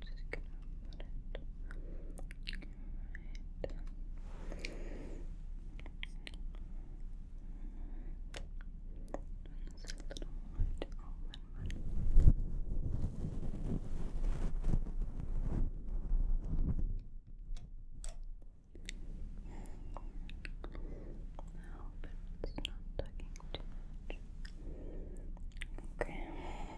just gonna put it right. a little more to open I hope it's not tugging too much. Okay.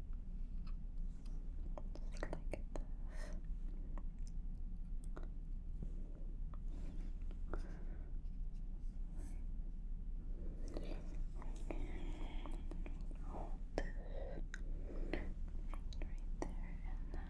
Just like this. Hold this right there and then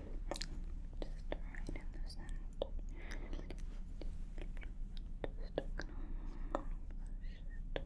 Just right in the center. Just gonna push it away. Just like that. okay,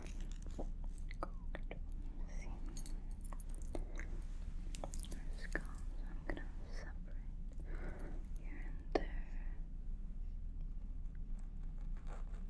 cooked seam I'm gonna separate here and there. Let's look.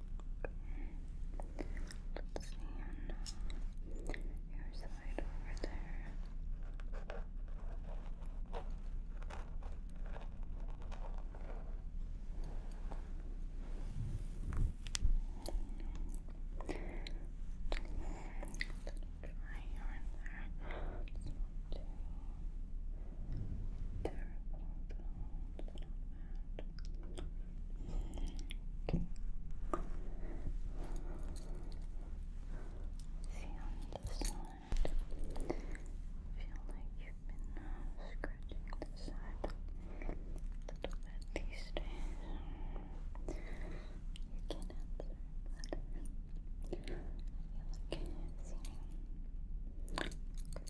Let's see your side over there. Try your there. It's not too terrible, but it's not Okay. See on this side. Feel like you've been uh, scratching the side a little bit these days. You can't answer, but feel like uh, i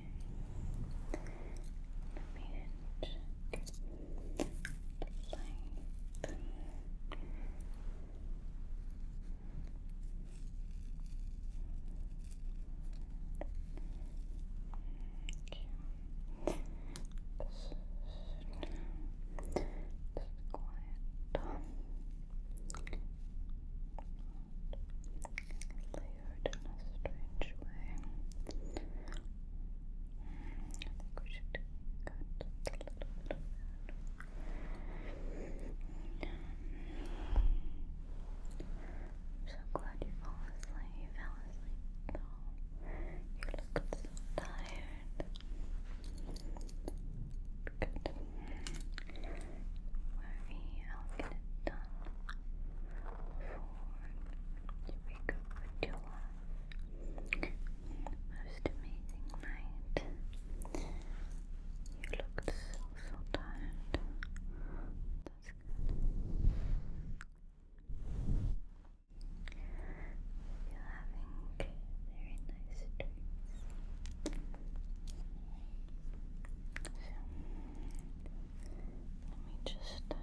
Let me check the light. Okay. This is quiet. Light in a strange way. I think we should cut a little I'm mm. so glad you fell asleep. You fell asleep You looked so tired. Good. Worry, will get it done to wake up with you Most amazing night. You looked so, so tired. You're having very nice dreams. Let me just uh, part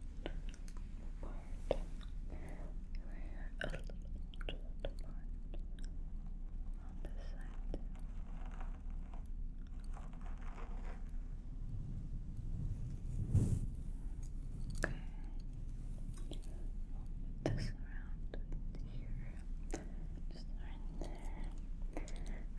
a little bit on this side. Okay. we this around here. Just around there.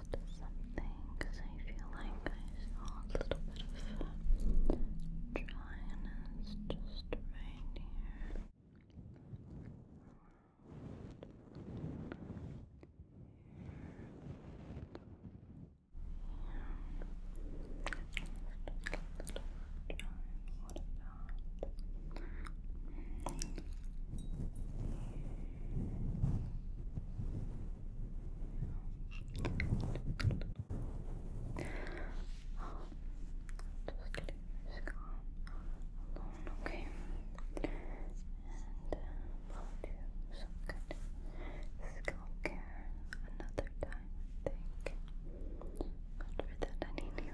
missed something because I feel like I saw a little bit of dryness just right here alone, okay? And uh, will do some good scalp care another time, I think. But for that, I need you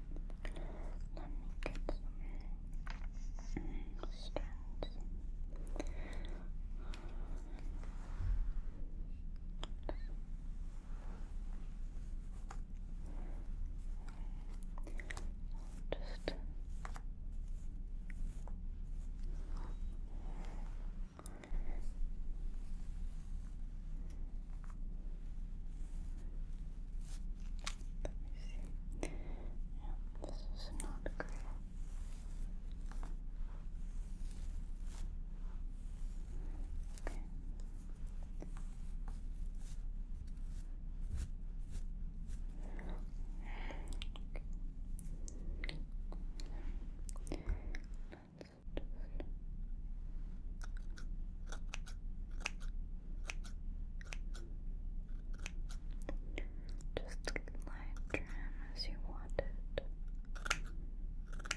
Let me get some strands. Just let me see. Yeah, this is not great. Okay. Okay. Just light trim as you want it. Okay, Alright.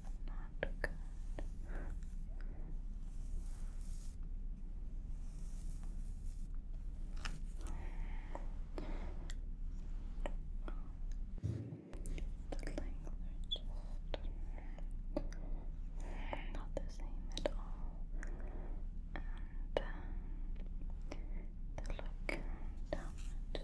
not good. The length are just not the same at all. And uh, the look down just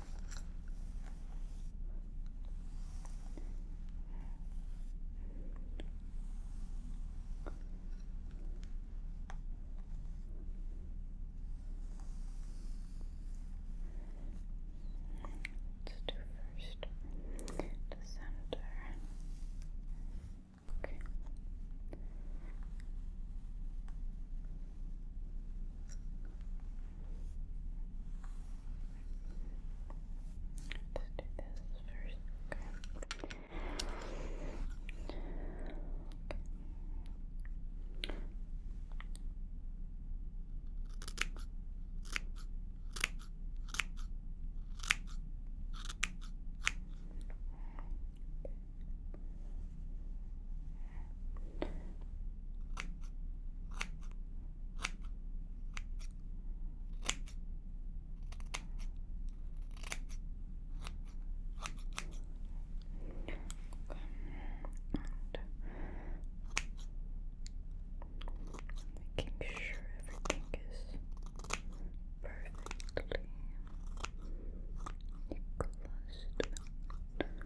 Let's do first the center. Okay. Let's do this first. Okay making sure everything is perfectly equalized. Okay. Okay.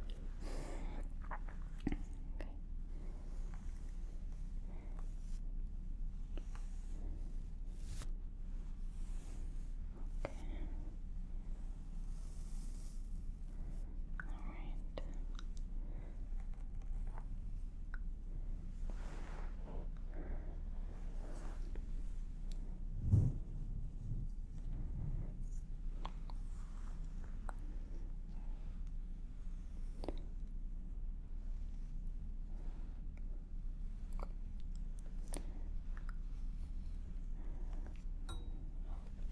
All right.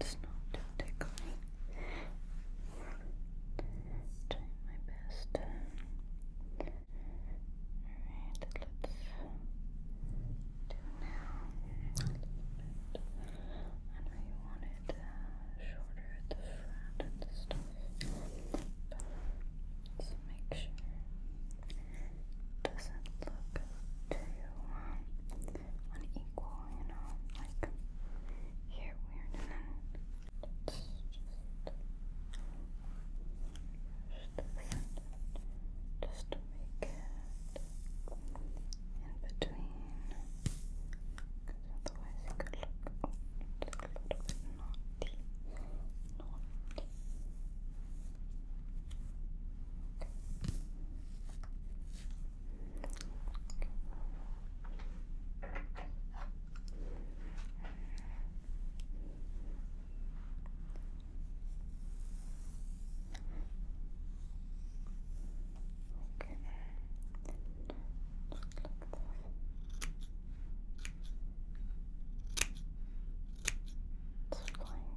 It's not too tickling. Doing my best. Alright, let's now. I know you wanted uh, shorter at the front and stuff, but let make sure doesn't look too unequal, you know, like here weird and then let's just brush this just to make it in between because otherwise you could look a little bit naughty naughty Okay. Just like this. It's flying away. Okay.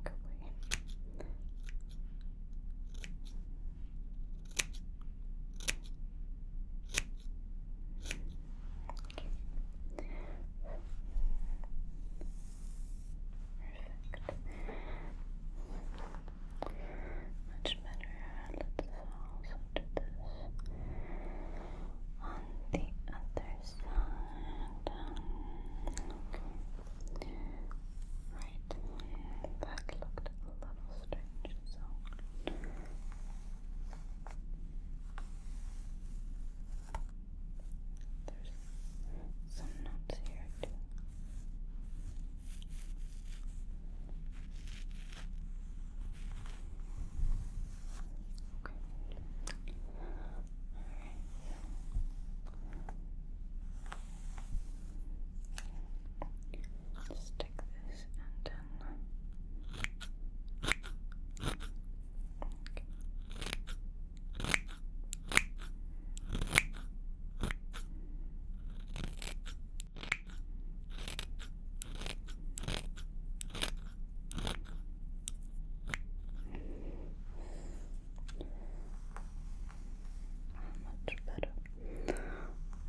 Perfect. Much better. Let's also do this on the other side. Right. That looked a little strange, so. There's some nuts here too. Okay. Alright, so this and then okay. Much better.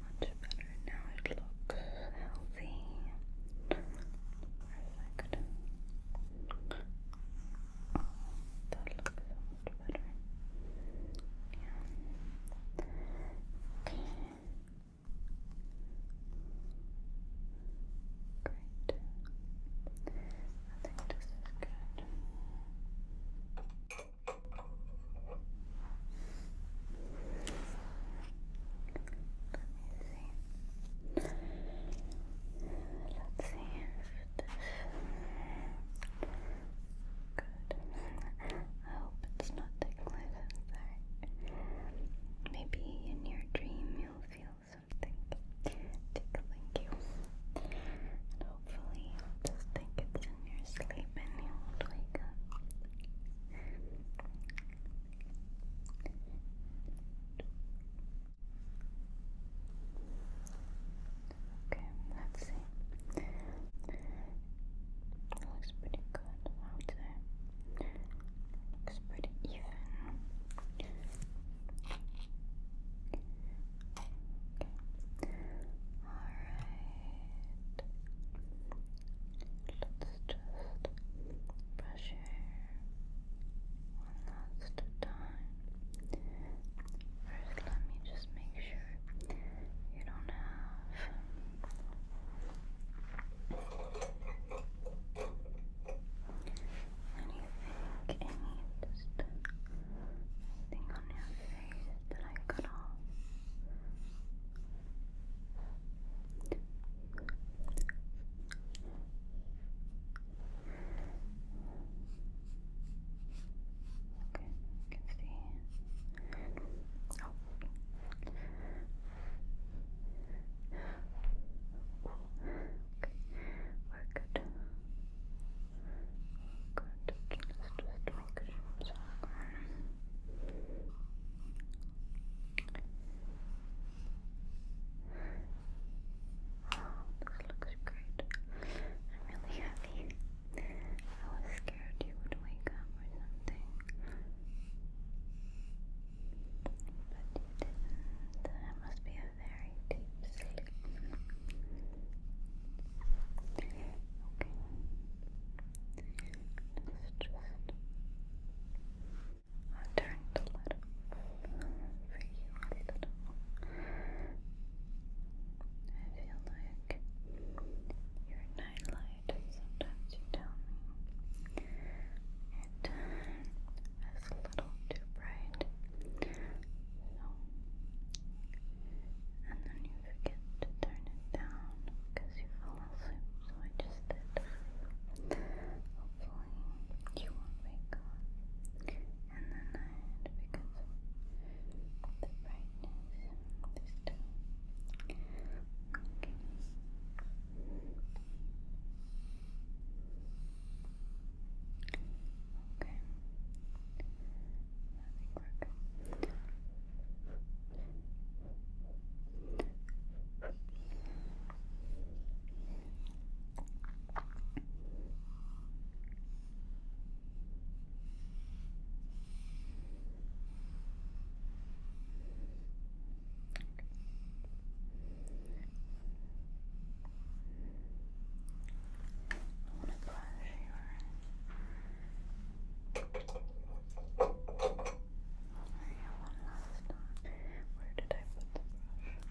Much better. Now it looks healthy. Perfect. That looks so much better. Yeah. Okay. Great. I think this is good. Let me see. Let's see if good. I hope it's not ticklish, sorry. Maybe in your dream you'll feel something tickling you. And hopefully you'll just think it's in your sleep and you will wake up. Okay, let's see. looks pretty good out there. Looks pretty even. Okay. Alright. Let's just brush your one last time. First, let me just make sure you don't have anything, any just anything on your face that I cut Okay, You can see. Oh. Okay, we're good. Good. Let's just make sure. Okay. This looks great. I'm really happy. I was scared you would wake up or something. But you didn't. It must be a very deep sleep. Okay. Let's just I'll the light up for you I feel like your night sometimes you tell me it is a little too bright. So, and then you forget to turn it down because you fall asleep. So I just did hopefully you won't wake up in the night because of the brightness this time. Okay. Okay. I think want to brush your hair one last time. Where did I put the brush?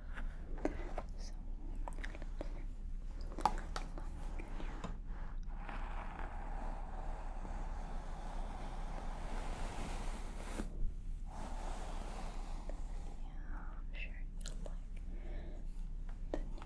So, Yeah, I'm sure you'll like the new Thank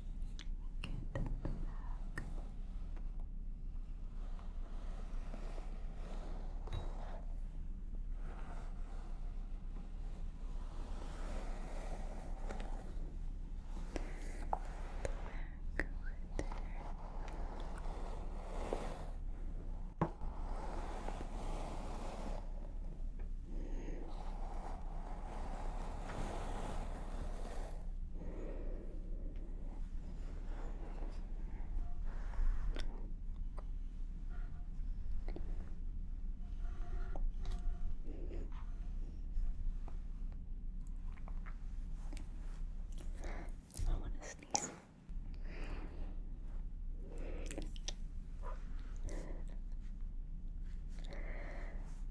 Get back. Back right there. I want to sneeze.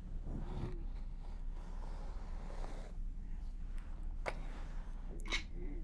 Making sure they're not going to tingle in the night. Okay. Okay. Good.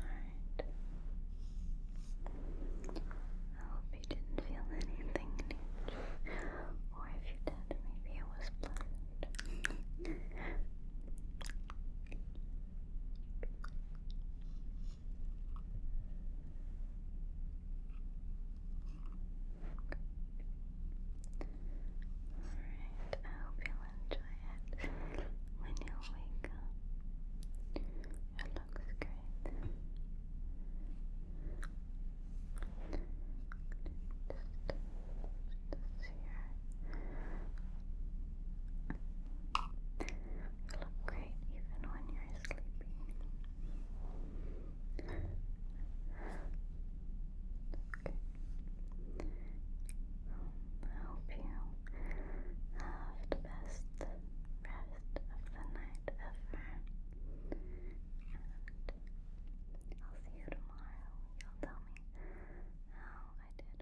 Alright. I hope you didn't feel anything Or if you did, maybe it was pleasant. Alright, I hope you enjoy it when you wake up. It looks great. Just this here. You look great even when you're sleepy. I hope you have the best rest of the night ever. And I'll see you tomorrow. You'll tell me how I did.